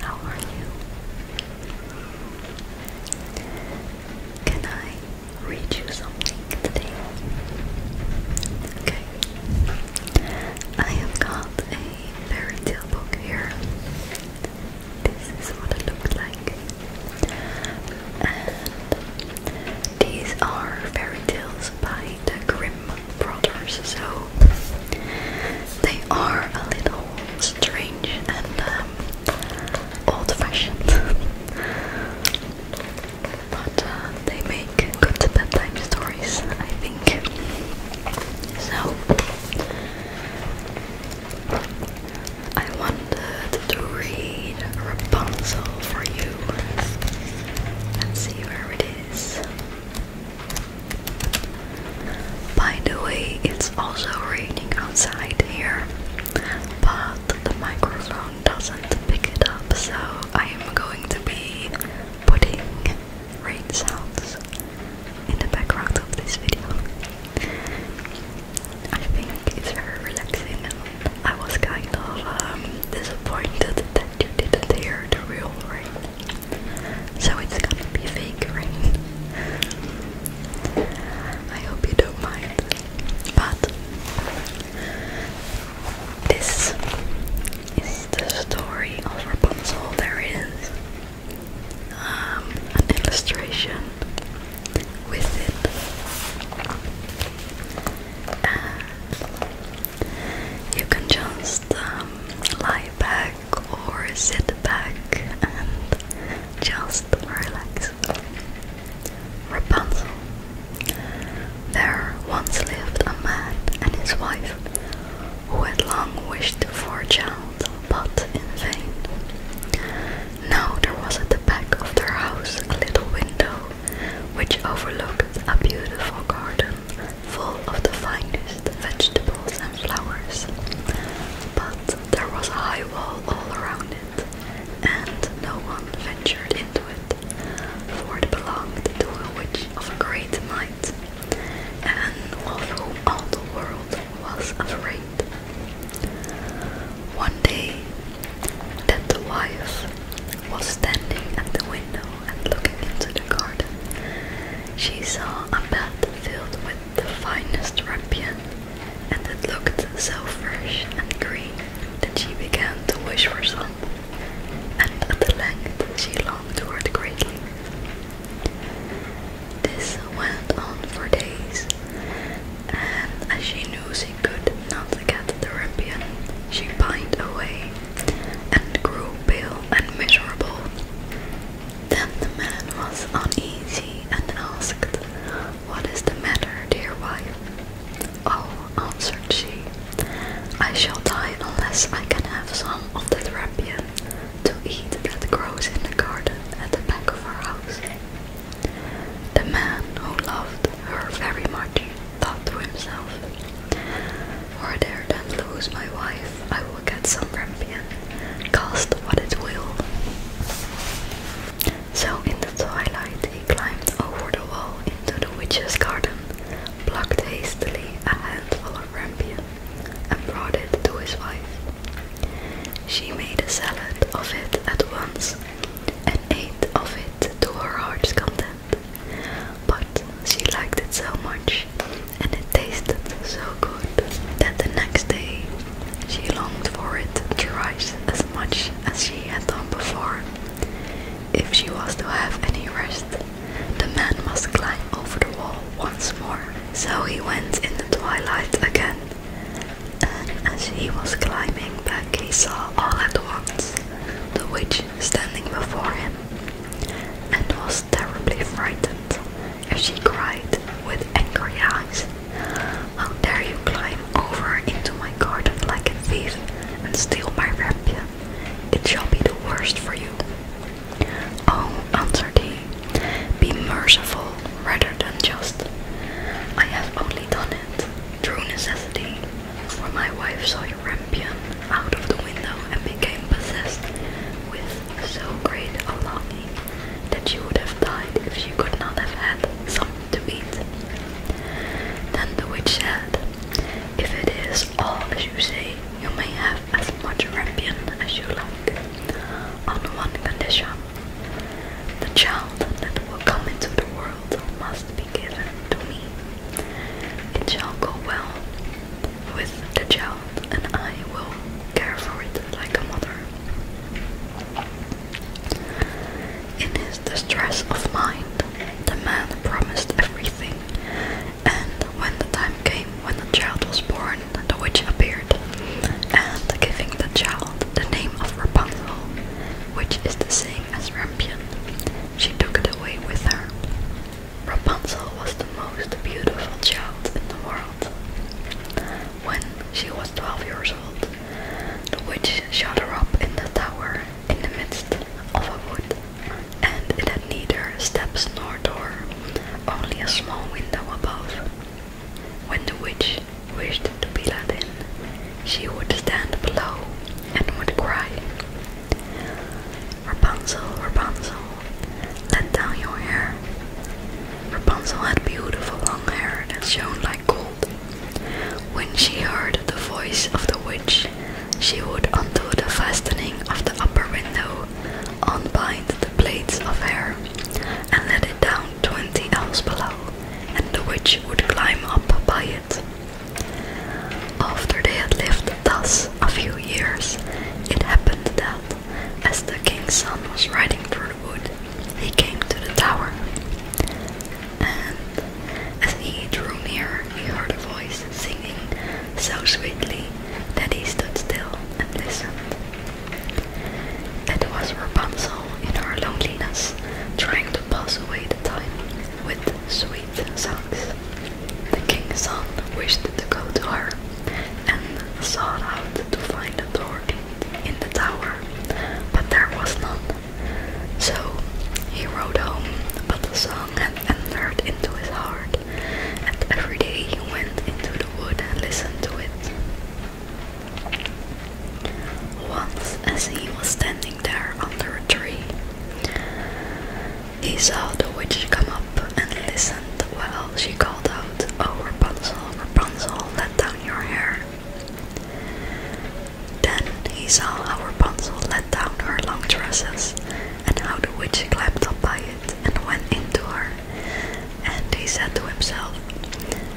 How are you? Can I read you something today? Okay. I have got a fairy tale book here. This is what it looks like. These are fairy tales by the Grimm brothers, so they are a little strange and um, old-fashioned, but uh, they make good bedtime stories, I think. So I wanted to read Rapunzel for you and see where it is. By the way, it's also raining outside here, but the microphone doesn't pick it up, so I am going to be putting rain sounds in the background of this video. I think it's very relaxing and I was kind of um, disappointed that you didn't hear the real rain. So it's gonna be fake rain. I hope you don't mind. But this is the story of Rapunzel. There is um, an illustration with it you can just um, lie back or sit back and just relax. Rapunzel. There once lived a man and his wife who had long wished for a child, but in vain. Now there was at the back of their house a little window which overlooks a beautiful garden full of the finest vegetables and flowers. But there was a high wall all around it, and no one ventured into it, for it belonged to a witch of great might, and of whom all the world was afraid. One day, that the wife was standing at the window and looking into the garden. She saw a bed filled with the finest rampion, and it looked so fresh and green that she began to wish for some, and at length she longed for it greatly. This went on for days, and as she knew she could not get the ripian, she pined away and grew pale and miserable. Then the man was uneasy and asked, What is the matter, dear wife? Oh, answered she, I shall die unless I can have some of the rapian to eat that grows in the garden at the back of our house. The man who loved her very much thought to himself, Or dare then lose my wife, I will get some rampion, cost what it will. So in the twilight he climbed over the wall into the witch's garden, plucked hastily a handful of rampion, and brought it to his wife. She made a salad of it at once, and ate of it to her heart's content. But she liked it so much and it tasted so good that the next day she longed for it thrice as much as she had done before. If she was to have any rest, the man must climb over the wall once more. So he went in the twilight again and as he was climbing back he saw all at once the witch standing before him, and was terribly frightened, And she cried with angry eyes, How dare you climb over into my garden like a thief and steal my rampion? It shall be the worst for you. Oh, answered he, be merciful rather than just I have only done it through necessity, for my wife saw your rampion out of the window and became possessed with so great a longing that she would have died if she could not have had something to eat. Then the witch said, If it is all as you say, you may have as much rampion as you like, on one condition the child that will come into the world must be given to me. It shall go well with the child, and I will care for it like a mother. In his distress of mind, the man promised everything, and when the time came when the child was born, the witch appeared, and giving the child the name of Rapunzel, which is the same as rampion. She took it away with her. Rapunzel was the most beautiful child in the world. When she was 12 years old, the witch shut her up in the tower in the midst of a wood, and it had neither steps nor door, only a small window above. When the witch wished to be let in, she would stand below and would cry, Rapunzel, Rapunzel, let down your hair. Rapunzel had beautiful long hair that shone like gold. When she heard the voice of the witch, she would undo the fastening of the upper window, unbind the plaits of hair, and let it down twenty elves below, and the witch would climb up by it. After they had lived thus a few years, it happened that, as the king's son was riding through the wood, he came to the tower. And as he drew near, he heard a voice singing so sweetly that he stood still and listened. It was Rapunzel in her loneliness trying to pass away the time with sweet songs. The king's son wished to go to her and sought out to find a door in the tower, but there was none. So he rode home, but the song had entered into his heart, and every day he went into the wood and listened to it. Once, as he was standing there under a tree, he saw the witch come up and listened while she called out, Oh Rapunzel, Rapunzel, let down your hair. Then he saw how Rapunzel let down her long tresses, and how the witch climbed up by it and went into her. And he said to himself,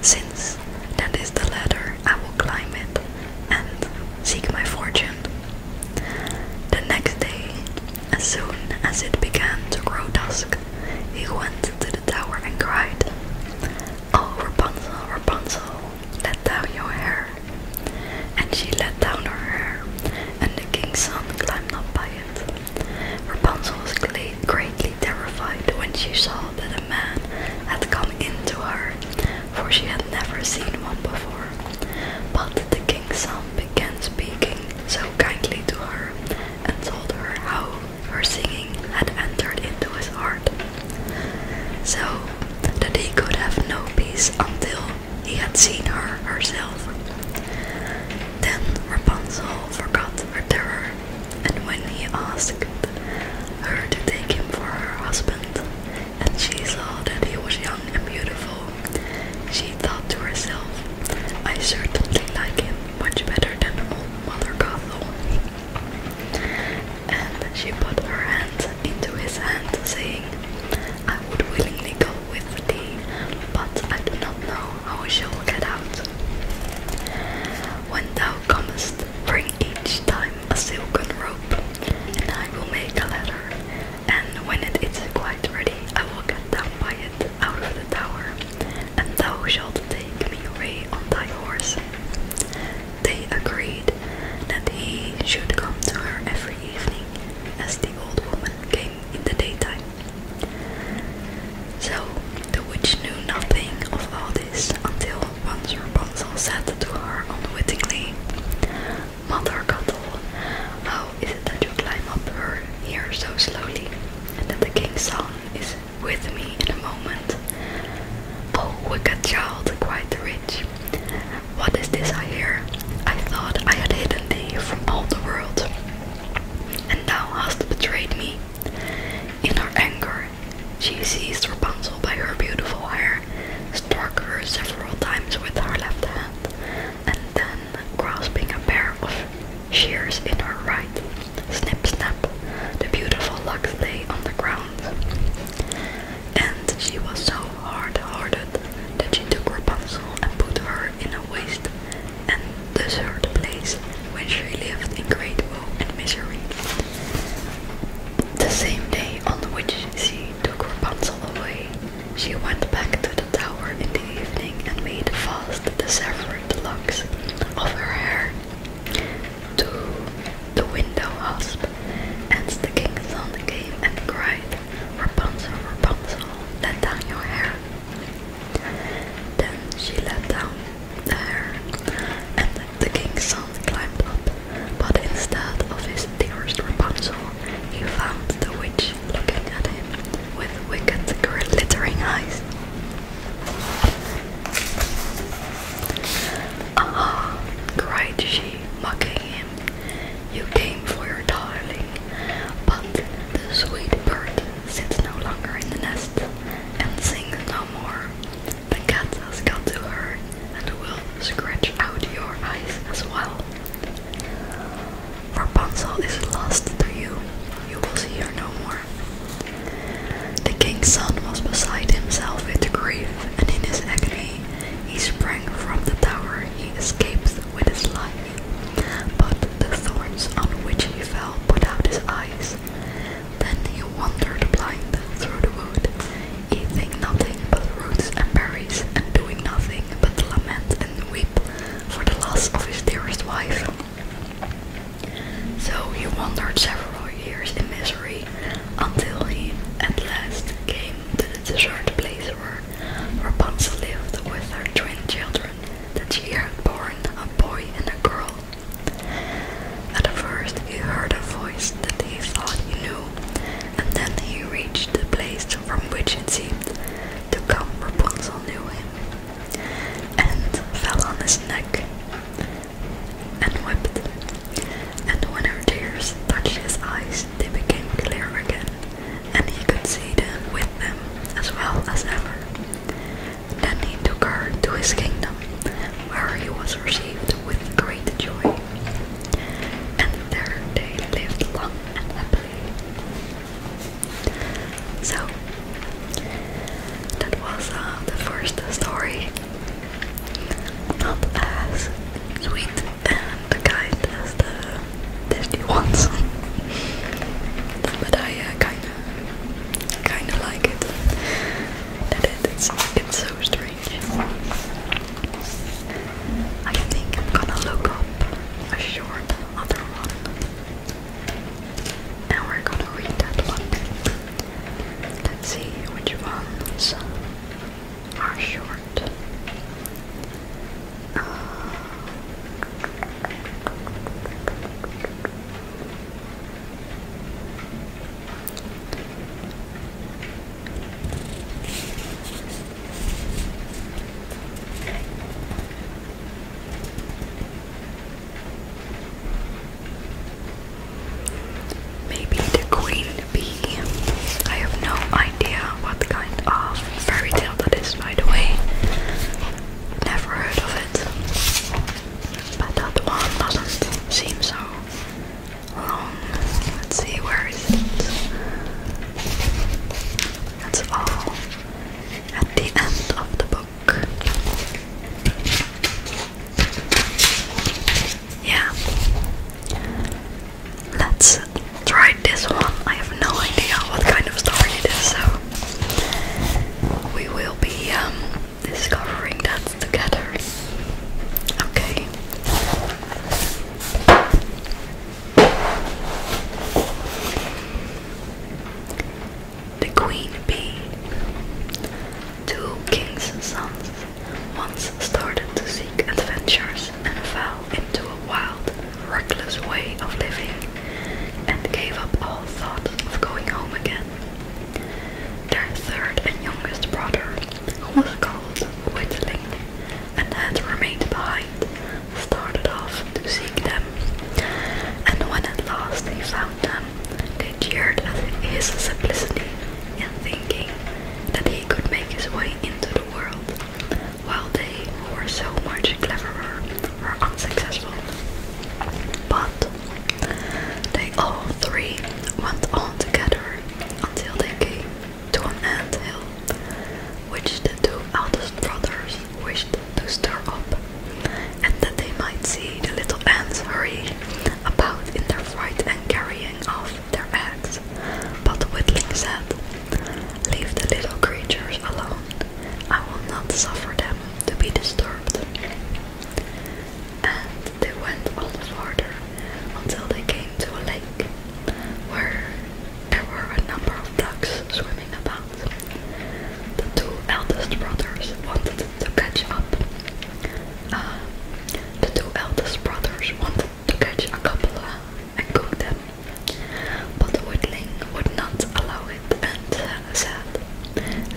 Since that is the ladder, I will climb it and seek my fortune. The next day, as soon as it began to grow dusk, he went to the tower and cried, Oh Rapunzel, Rapunzel, let down your hair. And she let down her hair, and the king's son climbed up by it. Rapunzel was greatly terrified when she saw that a man had come into her, for she had never seen one before. But the king's son began speaking so kindly to her and told her how her singing had entered into his heart, so that he could have no peace until he had seen her herself. Then Rapunzel forgot her terror and when he asked her to take him for her husband, and she saw that he was young and beautiful, she thought to herself, I certainly like him much better than old Mother Gothel. And she put her hand into his hand, saying, I would willingly go with thee, but I do not know I will show that out. When thou comest, bring each time a silken rope, and I will make a ladder. And when it is quite ready, I will get down by it out of the tower, and thou shalt take me away on thy horse. They agreed that he should come to her every evening, as the old woman came in the daytime. So the witch knew nothing of all this until once Rapunzel said to her unwittingly, Mother Cuttle, how is it that you climb up her here so slowly, and that the king's son is with me in a moment? Oh, wicked child, cried the witch, what is this I hear? I thought I had hidden thee from all the world, and thou hast betrayed me in her anger, she seized Rapunzel by her beautiful hair, struck her several times with her left hand, and then, grasping a pair of shears in her right, snip snap, the beautiful locks lay on the ground. And she was so hard-hearted that she took Rapunzel and put her in a waist and the third place where she lived in great woe and misery. The same day on which she took Rapunzel away, she went back to the tower in the evening and made fast the severed locks of her hair to the window hasp. And the king's son came and cried, Rapunzel, Rapunzel, let down your hair then she let down the hair, and the king's son climbed up, but instead of his dearest Rapunzel, he found the witch looking at him with wicked, glittering eyes. "Aha!" cried she, mocking him. "You came for your darling, but the sweet bird sits no longer in the nest, and sings no more. The cat has got to her, and will scratch out your eyes as well. Rapunzel is lost to you, you will see her no more. The king's son was beside himself with grief, and in his agony he sprang from the tower, he escaped with his life. But the thorns on which he fell put out his eyes. Then he wandered blind through the wood, eating nothing but roots and berries, and doing nothing but lament and weep for the loss of his dearest wife. So he wandered several years in misery until he at last came to the deserted place where Rapunzel lived with her twin children that she had born a boy and a girl. At first he heard a voice that he thought he knew, and then he reached the place from which it seemed to come Rapunzel knew him, and fell on his neck and wept. And when her tears touched his eyes, they became clear again, and he could see them with them as well as ever. Then he took her to his kingdom, where he was received with great joy. And there they lived long and happily. So, that was uh, the first story. Not as sweet and kind the dirty ones. but I uh, kinda kinda like it. I think I'm gonna look up a short other one. And we're gonna read that one. Let's see which ones are short. Maybe the queen bee. I have no idea what kind of fairy tale that is, by the way. Never heard of it. But that one doesn't seem so long. Let's see, where is it? That's all at the end of the book. Yeah. Let's try this one. I have no idea what kind of story it is, so we will be um, discovering that together. Okay. The Queen Bee. Two kings' sons once started to seek adventures and fell into a wild reckless way of living and gave up all thought of going home again. Their third and youngest brother, who was called Whitling and had remained behind, started off to seek them, and when at last they found them, they jeered at his simplicity in thinking that he could make his way into the world while they were so much cleverer were unsuccessful. But they all three went on together until they came to an ant hill, which the two eldest brothers wished to stir up, and that they might see the little ants hurry about in their fright and carrying off their eggs. But Whitling said, Leave the little creatures alone. I will not suffer them to be disturbed. And they went on farther until they came to a lake where there were a number of ducks swimming about. The two eldest brothers wanted to catch up. Uh, the two eldest brothers wanted to catch a couple uh, and cook them but Woodling would not allow it and said,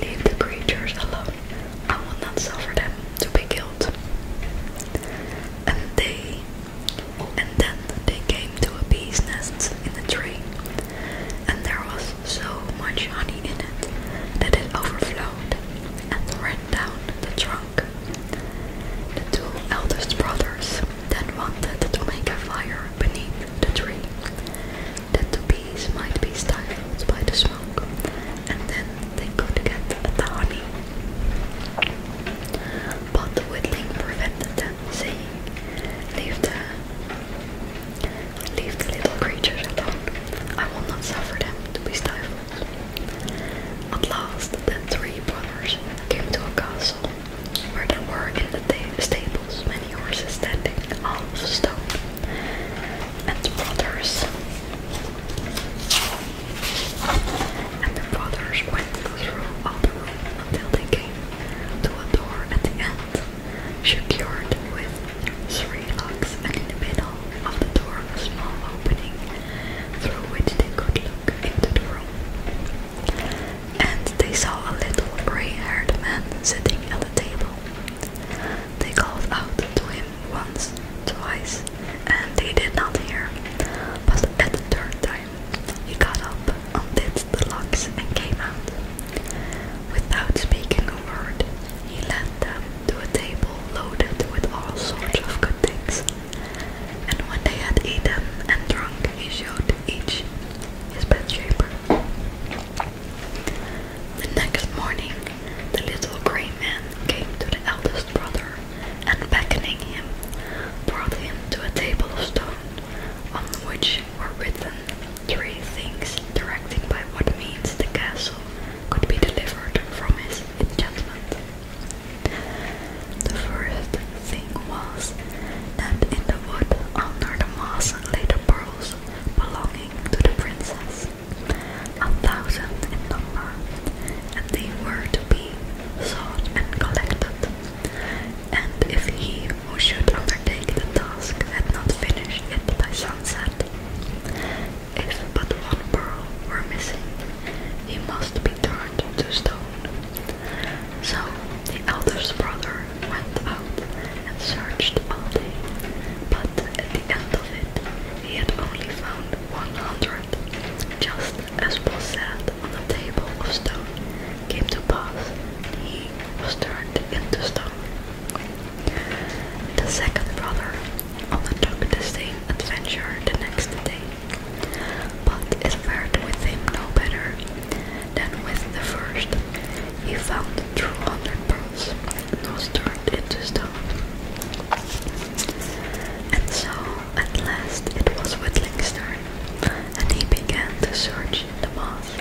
Leave the creatures alone. I will not suffer them to be killed. And they and then they came to a bee's nest in a tree, and there was so much honey in it that it overflowed and ran down the trunk. The two eldest brothers then wanted to make a fire beneath the tree, that the bees might be stifled by the smoke, and then they could get at the honey. But the whittling prevented them, saying, Leave the Leave the little creatures alone. I will not suffer them to be stifled. At last, the three brothers came to a castle, where they were in the stables many horses standing, all of And the brothers, and the brothers went through all the room until they came to a door at the end, secured with three locks, and in the middle of the door a small opening through which they could look into the room. And they saw a little grey-haired man sitting at a table. They called out to him once, twice, and they did not hear. But at the third time, he got up, undid the locks, and came out. Without speaking a word, he led them to a table loaded with all sorts of good things, and when they had eaten and drunk, he showed each his bed bedchamber. The next morning, the little grey man came to the eldest brother and, beckoning him, brought him to a table of stone on which were written three things directing by what means the castle could be delivered from his enchantment. The first thing was that in the wood under the moss lay the pearls belonging to the princess, a thousand in number, and they were to be sought and collected. And if he who should undertake the task had not finished it by sunset, if but one pearl were missing, he must be turned to stone. So the eldest brother went out and searched all day, but at the end of it he had only found 100, just as was said on the table of stone came to pass, he was turned into stone. The second brother undertook the same adventure the next day, but it fared with him no better than with the first. He found two hundred pearls, and was turned into stone. And so, at last, it was Whitling's turn, and he began to search in the moss.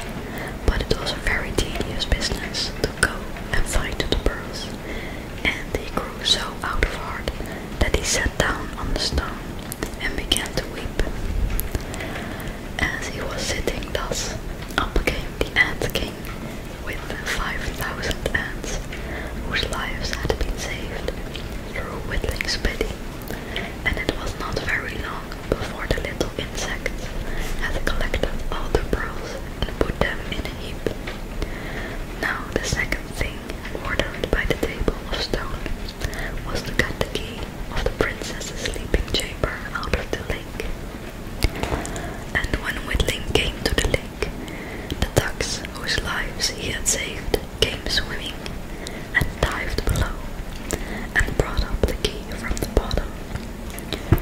But it was a very tedious business to go and find the pearls, and he grew so out of heart that he sat down on the stone and began to weep. As he was sitting thus, up came the Ant King with five thousand ants, whose lives had been saved through whittling spitting, and it was not very long before the little insects had collected all the pearls and put them in a heap. Now the second thing ornament by the table of stone, was to cut the key of the princess's sleeping chamber out of the lake. And when Whitling came to the lake, the ducks whose lives he had saved came swimming and dived below and brought up the key from the bottom.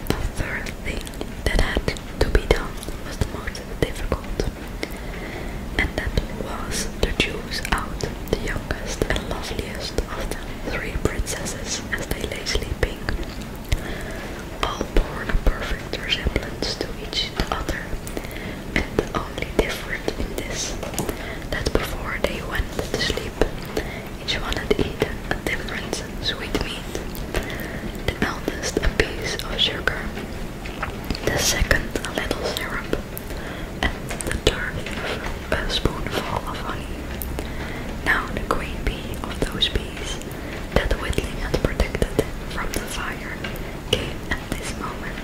The third thing that had to be done was the most difficult and that was the choose out the youngest and loveliest of the three princesses as they lay sleeping. All bore a perfect resemblance to each other, and only different in this, that before they went to sleep, each one had eaten a different sweetmeat the eldest a piece of sugar, the second a little syrup, and the third a spoonful of honey. Now the queen bee of those bees that Whitling had protected from the fire came at this moment,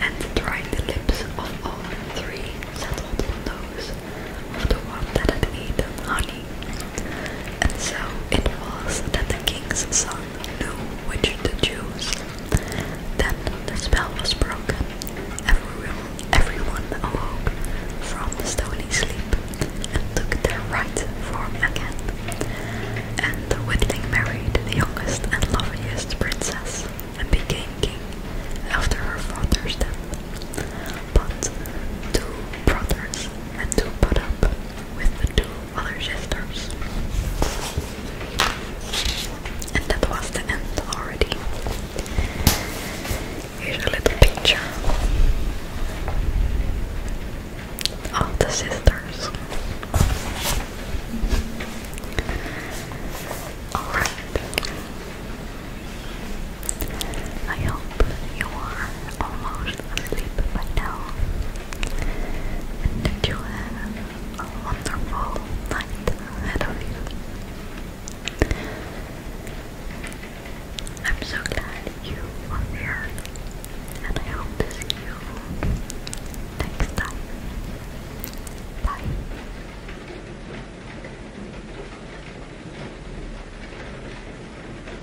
and dried the lips of all three settled on those of the one that had eaten honey and so it was that the king's son knew which to choose. Then the spell was broken. Everyone, everyone awoke from the stony sleep and took their right form again. And the Witling married the youngest and loveliest princess and became king after her father's death. But two brothers and two put up with the two other sisters. And that was the end already. Here's a little picture of the sisters. Alright. I hope you are almost asleep by now. And you have a wonderful night ahead I'm so glad you are here, and I hope to see you next time. Bye.